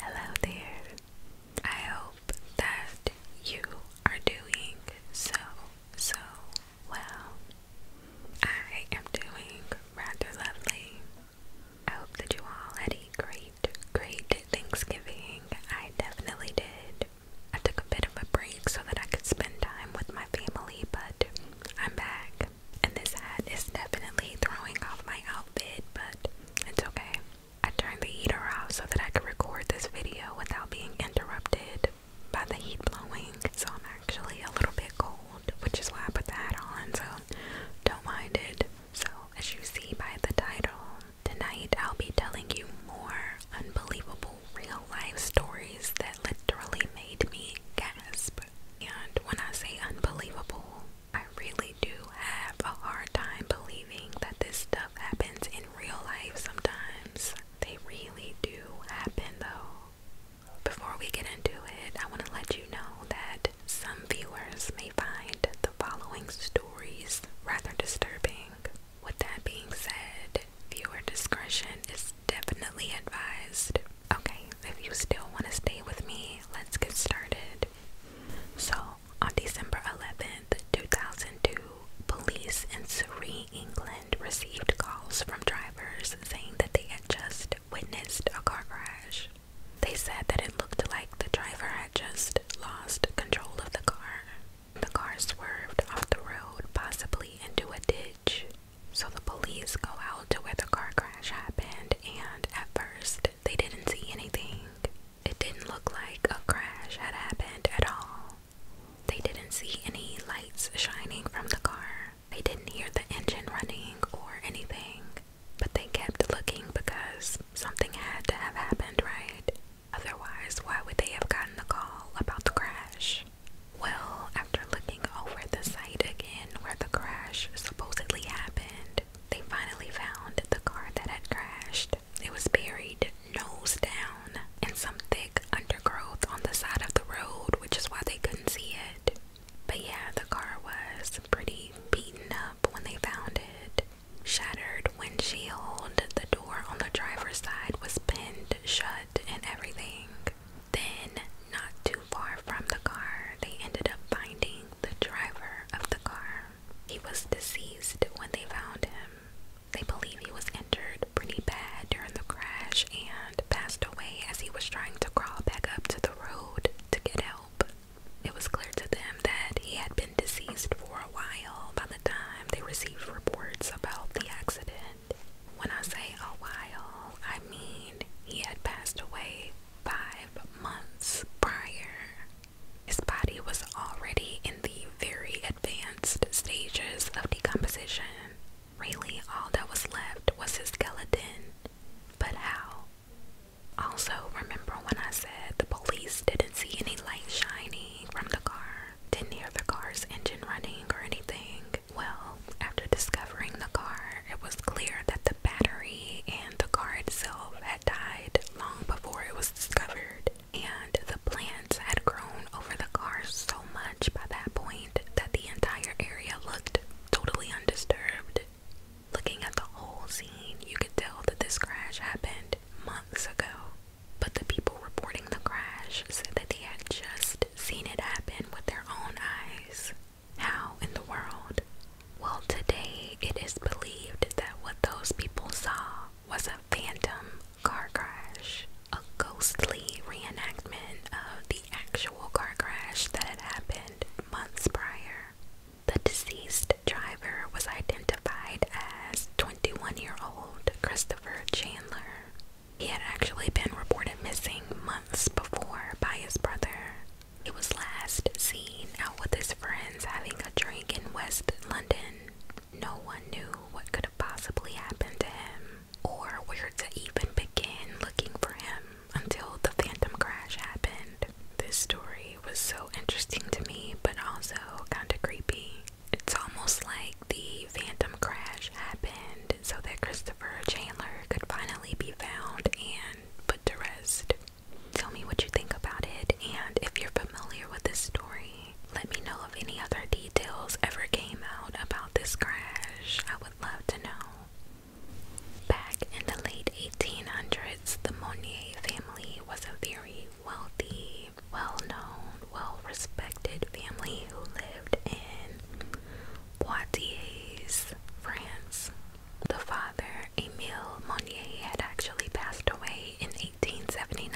Hello there. I hope that you are doing so, so well. I am doing rather lovely. I hope that you all had a great, great Thanksgiving. I definitely did. I took a bit of a break so that I could spend time with my family, but I'm back. And this hat is definitely throwing off my outfit, but it's okay. I turned the heater off so that I could record this video without being interrupted by the heat blowing. So I'm actually a little bit cold, which is why I put the hat on, so don't mind it. So, as you see by the title, tonight I'll be telling you more unbelievable real life stories that literally made me gasp. And when I say unbelievable, I really do have a hard time believing that this stuff happens in real life sometimes. They really do happen though. Before we get into it, I want to let you know that some viewers may find the following stories rather disturbing. With that being said, viewer discretion is definitely advised. Okay, if you still want to stay with me, let's get started. So, on December 11th, 2002, police in Surrey, England received calls from drivers saying that they had just witnessed a car crash. They said that it looked like the driver had just lost control of the car. The car swerved off the road, possibly into a ditch. So the police go out to where the car crash happened, and at first they didn't see anything. It didn't look like a crash had happened at all. They didn't see any lights shining from the car. They didn't hear the engine running or anything, but they kept looking because something had to have happened, right? Otherwise, why would they have gotten the call about the crash? Well, after looking over the site again where the crash supposedly happened, they finally found the car that had crashed. It was buried nose down in some thick undergrowth on the side of the road, which is why they couldn't see it. But yeah, the car was pretty beaten up when they found it. Shattered windshield, the door on the driver's side was pinned shut, and everything. Then, not too far from the car, they ended up finding the driver of the car. He was deceased when they found him. They believe he was injured pretty bad during the crash and passed away as he was trying to crawl back up to the road to get help. It was clear to them that he had been deceased for a while by the time they received reports about the accident. When I say a while, I mean he had passed away five months prior. His body was already in the very advanced stages of decomposition. Really, all that was left was his skeleton. But how? Also, remember when I said the police didn't see any light shining from the car, didn't hear the car's engine running or anything? Well, after discovering the car, it was clear that the battery and the car itself had died long before it was discovered, and the plants had grown over the car so much by that point that the entire area looked totally undisturbed. Looking at the whole scene, you could tell that this crash happened months ago, but the people reporting the crash said that they had just seen it happen with their own eyes. How in the world? Well, today it is believed that what those people saw was a phantom car crash, a ghostly reenactment of the actual car crash that had happened months prior. The deceased driver was identified as 21 year old Christopher Chandler. He had actually been reported missing months before by his brother, it was last seen out with his friends having a drink in West London. No one knew what could have possibly happened to him or where to even begin looking for him until the phantom crash happened. This story was so interesting to me, but also kind of creepy. It's almost like the phantom crash happened so that Christopher Chandler could finally be found and put to rest. Tell me what you think about it, and if you're familiar with this story, let me know if any other details ever came out about this crash. I would love to know. Back in the late 1800s, the Monnier family was a very wealthy, well known, well respected family who lived in Poitiers, France. The father, Emile Monnier, had actually passed away in 1879,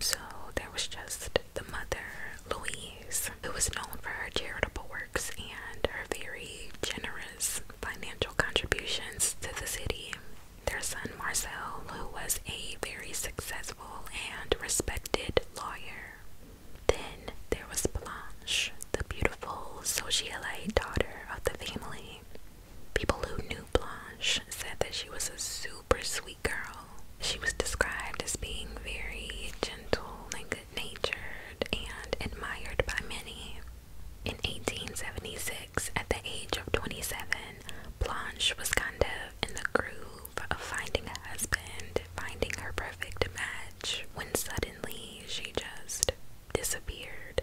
so there was just the mother, Louise, who was known for her charitable works and her very generous financial contributions to the city. Their son, Marcel, who was a very successful and respected lawyer. Then, was Blanche, the beautiful socialite daughter of the family. People who knew Blanche said that she was a super sweet girl. She was described as being very gentle and good natured and admired by many. In 1876, at the age of 27, Blanche was kind of in the groove of finding a husband, finding her perfect match, when suddenly she just disappeared.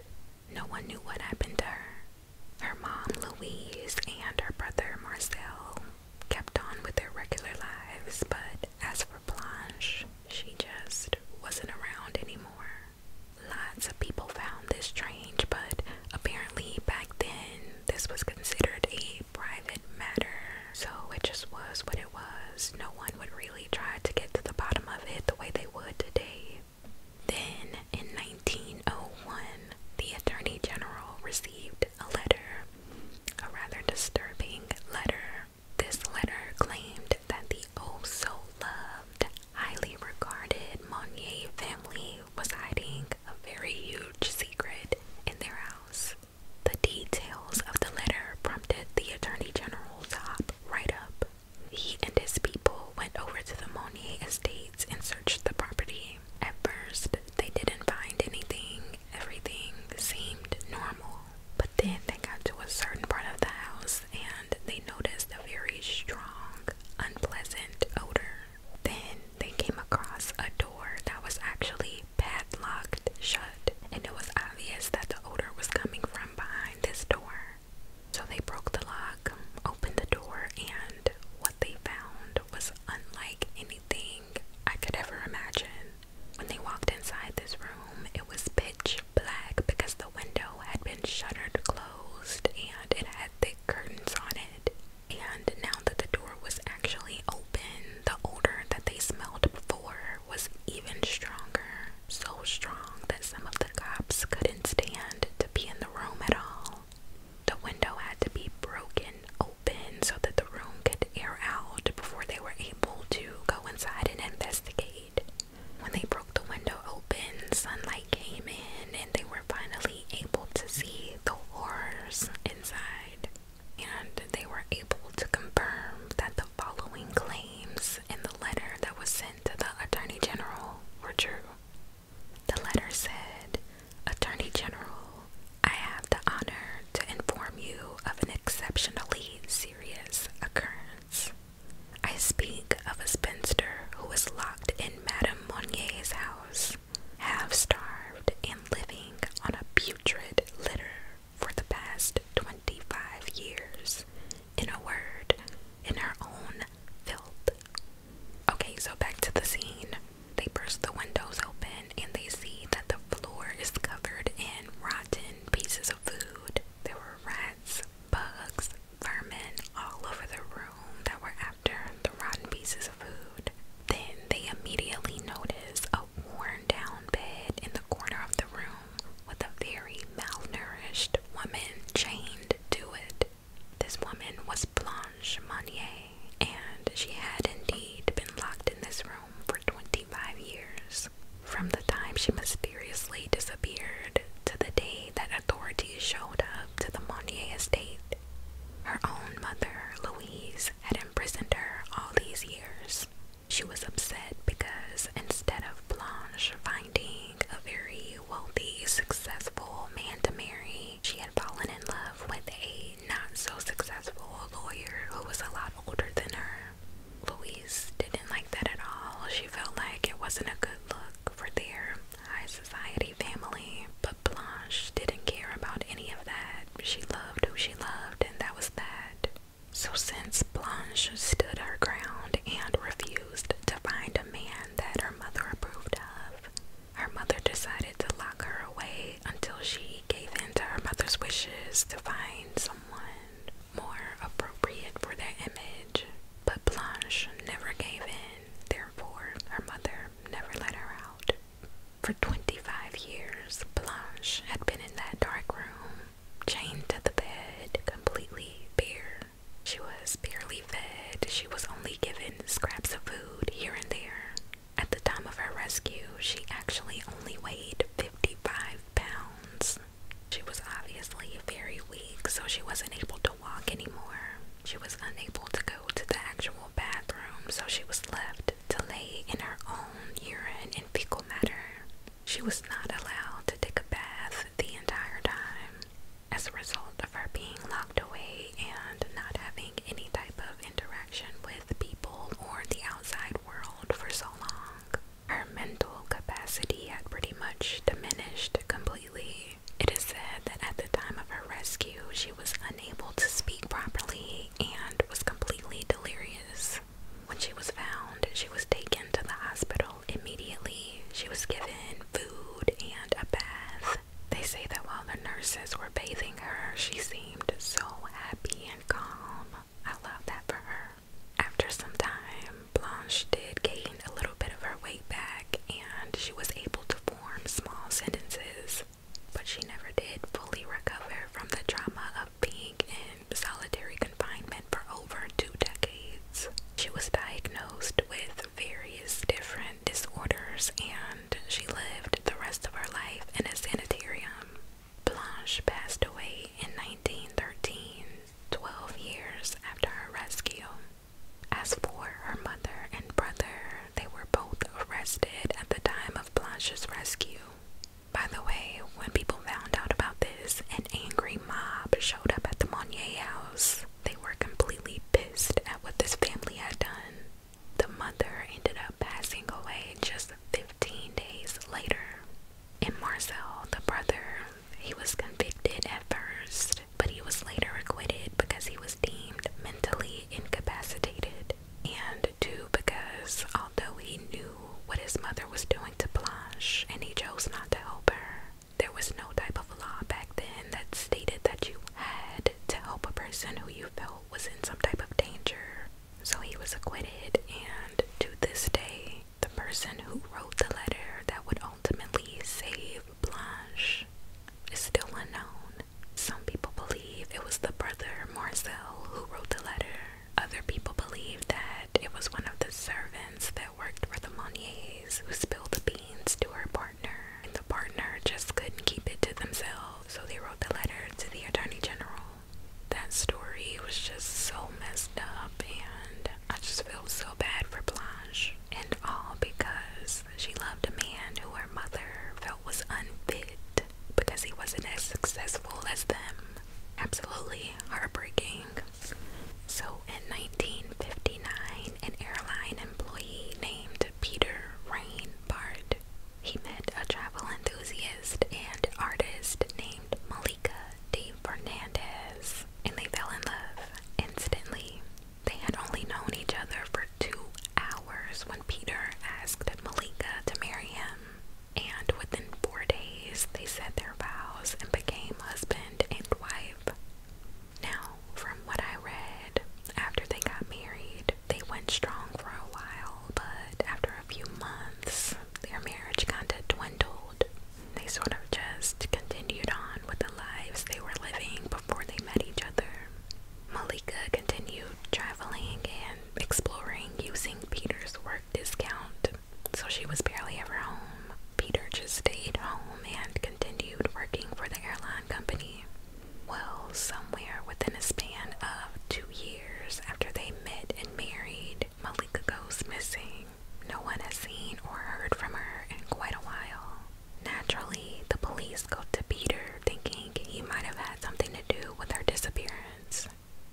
No one knew what happened to her. Her mom, Louise, and her brother, Marcel, kept on with their regular lives, but as for Blanche, she just wasn't around anymore. Lots of people found this strange, but apparently back then this was considered a private matter, so it just was what was. No one would really try to get to the bottom of it the way they would today. Then, in 1901, the Attorney General received a letter, a rather disturbing letter. This letter claimed that the oh so loved, highly regarded Monnier family was hiding a very huge secret in their house. The details of the letter prompted the Attorney General to hop right up he and his people went over to the Monier estates and searched the property. At first, they didn't find anything, everything seemed normal. But then they got to a certain part of the house and they noticed a very strong, unpleasant odor. Then they came across a door that was actually padlocked shut, and it was obvious that the odor was coming from behind this door. So they broke the lock, opened the door, and what they found was unlike anything I could ever imagine. When they walked inside this room, it was pitch black because the window had been shuttered closed and it had thick curtains on it. And now that the door was actually open, the odor that they smelled before was even stronger, so strong that some of the cops couldn't stand to be in the room at all. The window had to be broken open so that the room could air out before they were able to go inside and investigate. When they broke the window open, sunlight came in and they were finally able to see the horrors inside. And they were able to confirm that the following claims in the letter that was sent to the Attorney General were true. The letter said, Attorney General, I have the honor to inform you of an exceptionally serious occurrence. I speak of a spinster who was locked in Madame Monnier's house, half starved and living on a putrid litter for the past 25 years. In a word, in her own filth. Okay, so back to the scene. They burst the windows open and they see that the floor is covered in rotten pieces of food. There were rats, bugs, vermin all over the room that were after the rotten pieces of food. Then they immediately notice a worn down bed in the corner of the room with a very malnourished woman chained to it. This woman was Blanche Monnier, and she had indeed been locked in this room for 25 years. From the time she mysteriously disappeared to the day that authorities showed up to the Monnier estate, her own mother, Louise, had imprisoned her all these years. She was upset because instead of Blanche finding a very wealthy, successful man to marry, she had fallen in love with a not so successful lawyer who was a lot older than her. Louise didn't like that at all. She felt like it wasn't a good look for their high society family. But Blanche didn't care about any of that. She loved who she loved, and that was that. So, since Blanche stood her ground and refused to find a man that her mother approved of, her mother decided to lock her away until she gave in to her mother's wishes to find someone more appropriate for their image. But Blanche never gave in, therefore, her mother never let her out. For 25 years, Blanche had been in that dark room chained to the bed, completely bare. She was barely fed. She was only given scraps of food here and there. At the time of her rescue, she actually only weighed 55 pounds. She was obviously very weak, so she wasn't able to walk anymore. She was unable to go to the actual bathroom, so she was left to lay in her own urine and fecal matter. She was not allowed to take a bath the entire time as a result of her being locked away and not having any type of interaction with people or the outside world for so long. Her mental capacity had pretty much diminished completely. It is said that at the time of her rescue, she was unable to speak properly and was completely delirious. When she was found, she was taken to the hospital immediately. She was given food and a bath. They say that while the nurses were bathing her, she seemed so happy and calm. I love that for her. After some time, Blanche did gain a little bit of her weight back and she was able to form small sentences, but she never did fully recover from the trauma of being in solitary confinement for over two decades. She was diagnosed with various different disorders and she lived the rest of her life in a sanitarium. Blanche passed away in 1913, 12 years after her rescue. As for her mother and brother, they were both arrested at the time of Blanche's rescue. By the way, when people found out about this, an angry mob showed up at the Monnier house. They were completely pissed at what this family had done. The mother ended up passing away just 15 days later. And Marcel, the brother, he was convicted at first, but he was later acquitted because he was deemed mentally incapacitated. And two, because although he knew what his mother was doing to Blanche, and he chose not to help her. There was no type of law back then that stated that you had to help a person who you felt was in some type of danger. So he was acquitted, and to this day, the person who wrote the letter that would ultimately save Blanche is still unknown. Some people believe it was the brother Marcel who wrote the letter, other people believe that it was one of the servants that worked for the Monies who spilled the beans to her partner, and the partner just couldn't keep it to themselves, so they wrote the letter to the Attorney General. That story was just so messed up, and I just feel so bad for Blanche, and all because she loved a man who her mother felt was unfit because he wasn't as successful as them. Absolutely heartbreaking. So in 1959, an airline employee named Peter Rainbart he met a travel enthusiast and artist named Malika de Fernandez, and they fell in love instantly. They had only known each other for two hours when Peter asked Malika to marry him, and within four days they said their vows and became husband and wife. Now, from what I read, after they got married, they went strong for a while, but after a few months, their marriage kinda dwindled. They sort of just continued on with the lives they were living before they met each other. Malika continued traveling and exploring using Peter's work discount so she was barely ever home. Peter just stayed home and continued working for the airline company. Well, somewhere within a span of two years after they met and married, Malika goes missing. No one has seen or heard from her in quite a while. Naturally, the police go to Peter thinking he might have had something to do with her disappearance.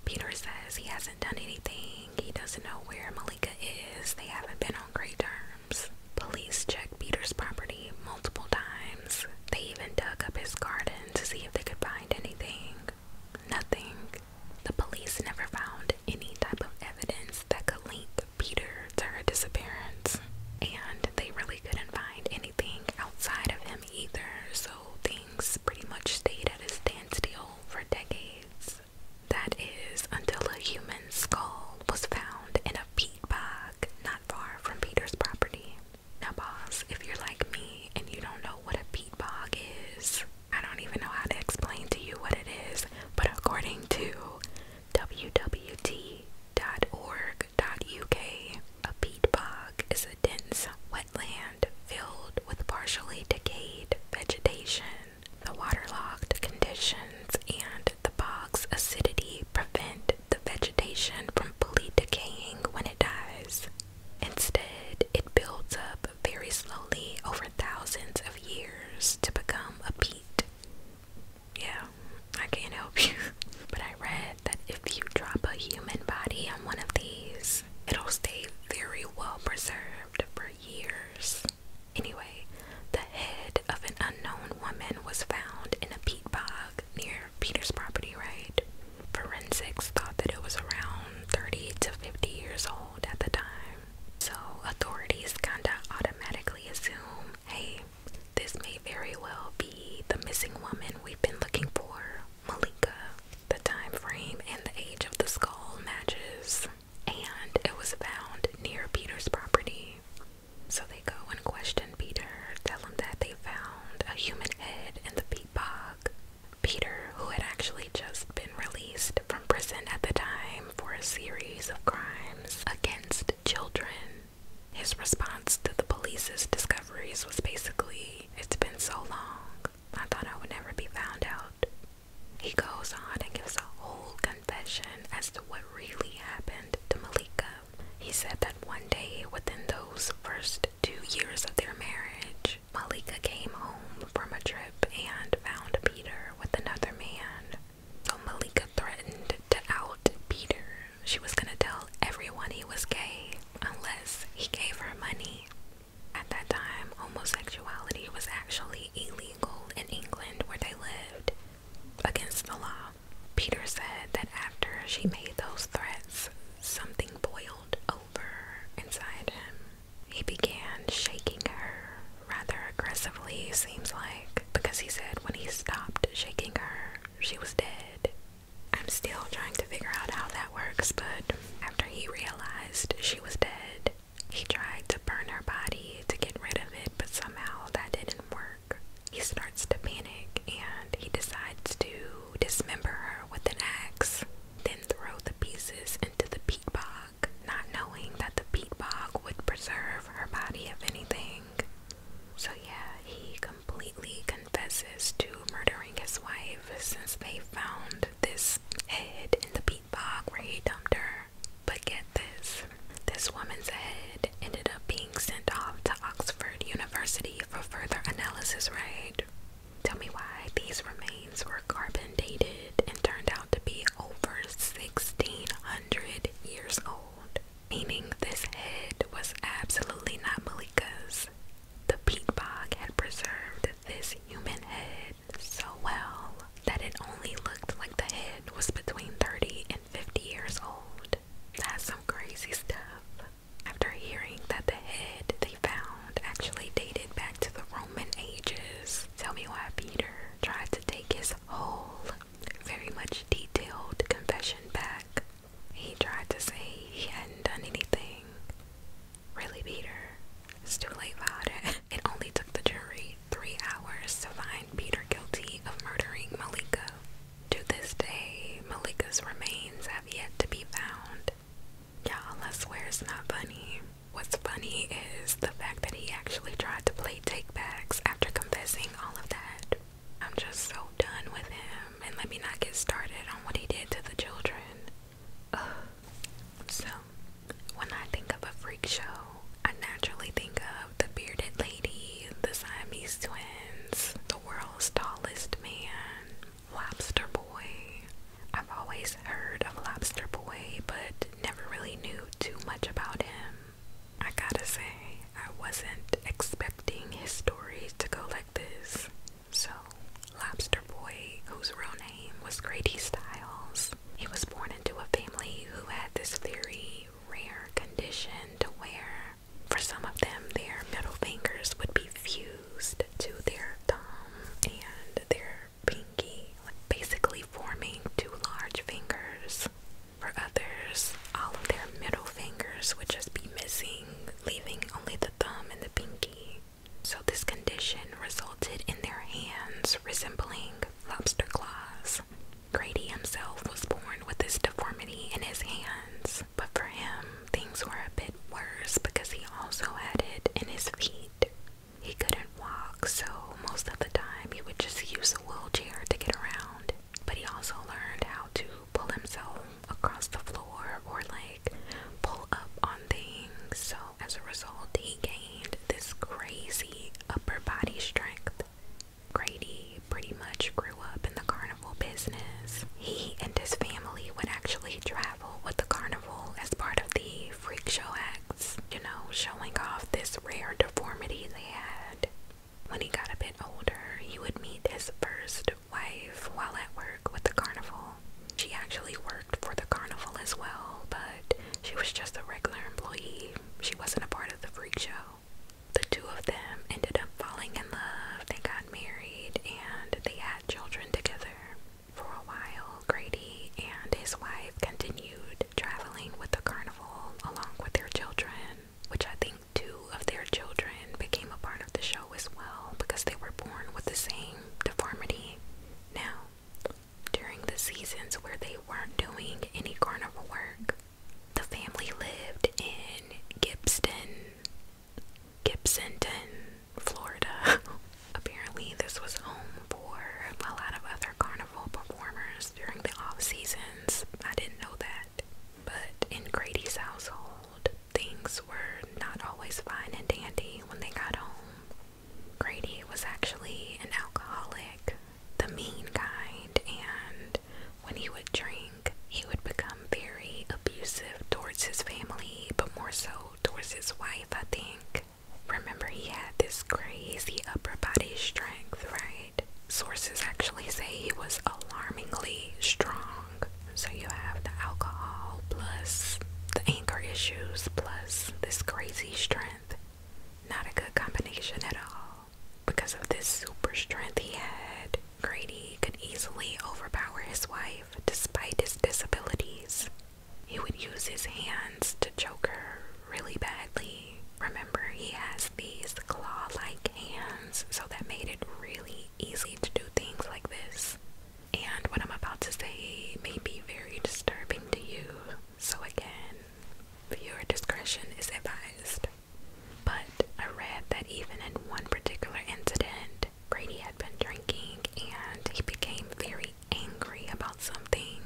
Peter says he has not done anything. He doesn't know where Malika is. They haven't been on great terms. Police checked Peter's property multiple times. They even dug up his garden to see if they could find anything. Nothing. The police never found any type of evidence that could link Peter to her disappearance. And they really couldn't find anything outside of him either, so things pretty much stayed at a standstill for decades that is, until a human skull was found in a peat bog not far from Peter's property. Now, boss, if you're like me and you don't know what a peat bog is, I don't even know how to explain to you what it is, but according to www.org.uk, a peat bog is a dense wetland filled with partially decayed vegetation the waterlogged conditions and the bog's acidity prevent the vegetation from fully decaying when it dies. Instead, it builds up very slowly over thousands of years to become a peat. Yeah, I can't help you. But I read that if you drop a human body on one of these, it'll stay very well preserved years. Anyway, the head of an unknown woman was found in a peat bog near Peter's property, right? Forensics thought that it was around 30 to 50 years old at the time. So authorities kinda automatically assume hey, this may very well be the missing woman we've been looking for, Malika. The time frame and the age of the skull matches and it was found near Peter's property. So they go and question Peter, tell him that they found a human head in the peat bog. Peter, who had actually just been released from prison at the time for a series of crimes against children, his response to the police's discoveries was basically, It's been so long. I thought I would never be found out. He goes on and gives a whole confession as to what really happened to Malika. He said that one day within those first two years of their marriage, Malika came home from a trip and found Peter with another man. So Malika threatened to out Peter. She was gonna tell everyone he was gay unless he gave her money. At that time, homosexuality was actually illegal in England where they lived, against the law. Peter said that after she made those threats, something boiled over inside him. He began shaking her rather aggressively, seems like, because he said when he stopped shaking her, she was dead. I'm still trying to figure out how that works, but after he realized she was dead, he tried to burn her body to get rid of it, but somehow that didn't work. He starts to panic and he decides to dismember her with an axe, then throw the pieces into the peat bog, not knowing that the peat bog would preserve her body of anything. So, yeah, he completely confesses to murdering his wife since they found this head in the peat skate where he dumped her. But get this this woman's head ended up being sent off to Oxford University for further analysis, right? Tell me why these remains were carbon dated and turned out to be over 1600 years old, meaning this head was absolutely not Malika's. The peat bog had preserved this human head so well that it only looked like the head was between 30 and 50 years old. That's some crazy stuff. After hearing that the head they found actually dated back to the Roman ages, tell me why Peter tried to take his whole, very much detailed confession back. He tried to say he hadn't done anything, really beat It's too late about it. It only took the jury three hours to find Peter guilty of murdering Malika. To this day, Malika's remains have yet to be found. Y'all, I swear it's not funny. What's funny is the fact that he actually tried to play take backs after confessing all of that. I'm just so done with him, and let me not get started on what he did to the children so, when I think of a freak show, I naturally think of the bearded lady, the Siamese twins, the world's tallest man, Lobster Boy. I've always heard of Lobster Boy, but never really knew too much about him. I gotta say, I wasn't expecting his story to go like this. So, Lobster Boy, whose real was Grady Stiles. He was born into a family who had this very rare condition to where, for some of them, their middle fingers would be fused to their thumb and their pinky, like basically forming two large fingers. For others, all of their middle fingers would just be missing, leaving only the thumb and the pinky. So, this condition resulted in their hands resembling lobster claws. Grady himself was born with this deformity in his hands, but for him, things were a bit worse because he also had it in his feet. He couldn't walk, so most of the time he would just use a wheelchair to get around. But he also learned how to pull himself across the floor or like pull up on things, so as a result, he gained this crazy upper body strength. Grady pretty much grew up in the carnival business. He and his family would actually travel with the carnival as part of the freak show acts, you know, showing off this rare deformity they had. When he got a bit older, he would meet his first wife while at work with the carnival. She actually worked for the carnival as well, but she was just a regular employee. She wasn't a part of the freak show. The two of them ended up falling in love, they got married, and they had children together. For a while, Grady and his wife continued traveling with the carnival along with their children, which I think two of their children became a part of the show as well because they were born with the same deformity. Now, during the seasons where they weren't doing any carnival work. The family lived in Gibson, Gibsonton, Florida. Apparently, this was home for a lot of other carnival performers during the off seasons. I didn't know that. But in Grady's household, things were not always fine and dandy when they got home. Grady was actually an alcoholic, the mean kind, and when he would drink, he would become very abusive towards his family, but more so towards his wife, I think. Remember, he had this crazy upper body strength, right? Sources actually say he was alarmingly strong. So you have the alcohol plus the anger issues plus this crazy strength. Not a good combination at all. Because of this super strength he had, Grady could easily overpower his wife despite his disabilities. He would use his hands to choke her really badly. Remember, he has these claw like hands, so that made it really easy to do things like this and what I'm about to say may be very disturbing to you. So, again, your discretion is advised. But I read that even in one particular incident, Grady had been drinking and he became very angry about something,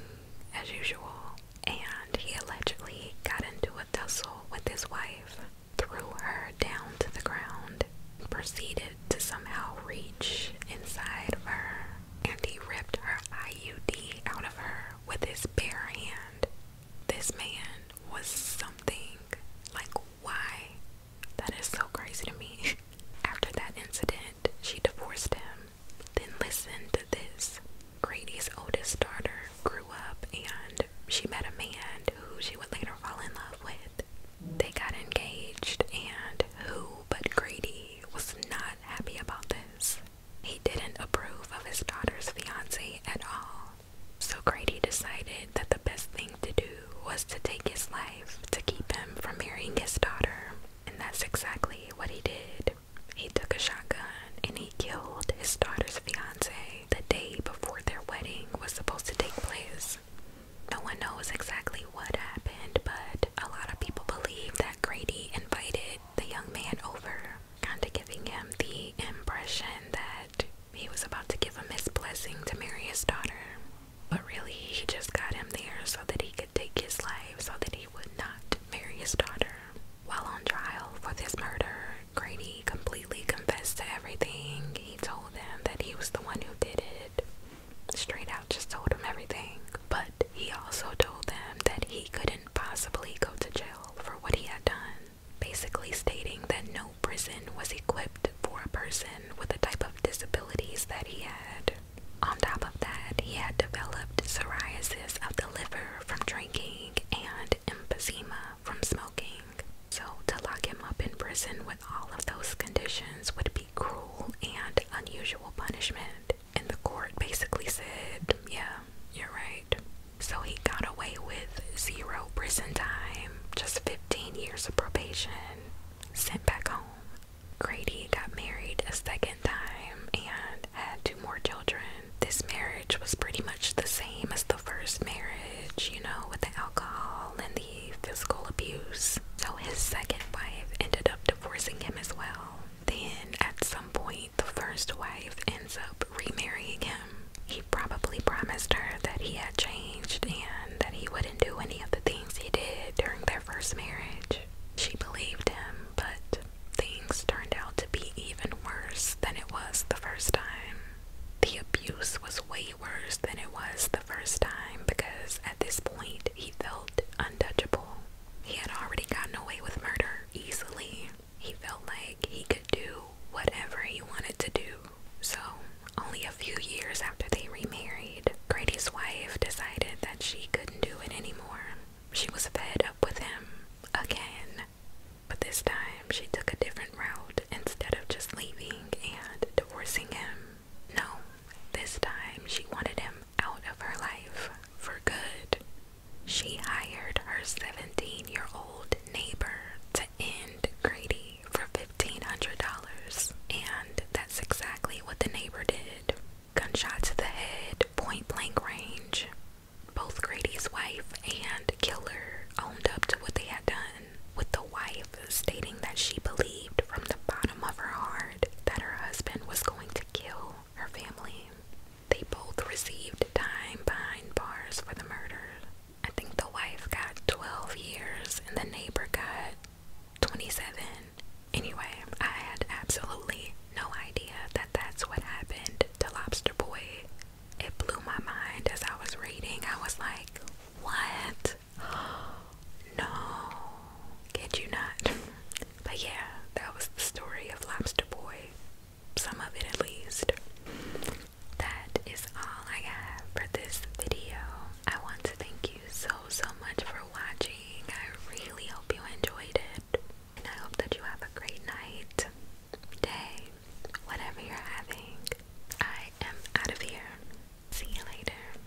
as usual, and he allegedly got into a tussle with his wife, threw her down to the ground, and proceeded to somehow reach inside of her and he ripped her IUD out of her with his bare hand. This man was something. Like, why? That is so crazy to me. After that incident, she divorced him. Then listen to this. Grady's oldest daughter grew up and she met a man who she would later fall in love with. They got engaged, and who but Grady was not happy about this. He didn't approve of his daughter's fiance at all. So Grady decided that the best thing to do was to take his life to keep him from marrying his daughter. And that's exactly what he did. He took a shotgun and he killed his daughter's fiance the day before their wedding was supposed to take place. No one knows exactly what happened but a lot of people believe that Grady invited the young man over, kind of giving him the impression that he was about to give him his blessing to marry his daughter. But really, he just got him there so that he could take his life, so that he would not marry his daughter. While on trial for this murder, Grady completely confessed to everything. He told them that he was the one who did it straight out just told him everything, but he also told them that he couldn't possibly go to jail for what he had done, basically stating that no prison was equipped for a person with the type of disabilities that he had. On top of that, he had developed psoriasis of the liver from drinking and emphysema from smoking. So, to lock him up in prison with all of those conditions would be cruel and unusual punishment and the court basically said, Yeah, you're right. So he got away with zero prison time, just 15 years of probation, sent back home. Grady got married a second time and had two more children. This marriage was pretty much the same as the first marriage, you know, with the alcohol and the physical abuse. So his second wife ended up divorcing him as well. Then, at some point, the first wife ends up remarrying him. He probably promised her that he had changed and that he wouldn't do any of the things he did during their first marriage. She believed him, but things turned out to be even worse than it was the first time. The abuse was way worse than it was the first time because at this point he felt untouchable. He had already gotten away with murder easily. He felt like he could do whatever he wanted to do. So, only a few years after they remarried, Grady's wife decided that she couldn't do it anymore. She was fed up with him again. But this time, she took a different route instead of just leaving and divorcing him. No, this time she wanted him out of her life for good. She hired her 17 year old neighbor to end Grady for $1,500, and that's exactly what the neighbor did. gunshots to the head, point blank range. Both Grady's wife and killer owned up to what they had done, with the wife stating that she believed from the bottom of her heart that her husband was going to kill her family. They both received time behind bars for the murder. I think the wife got 12 years and the neighbor got 27. Anyway, I had absolutely no idea that that's what happened to Lobster Boy. It blew my mind as I was reading. I was like, what? No, kid you not. But yeah, that was the story of Lobster Boy, some of it at least. That is all I have for this video. I want to thank you so, so much for watching. I really hope you enjoyed it. And I hope that you have a great night, day, whatever you're having. I am out of here. See you later.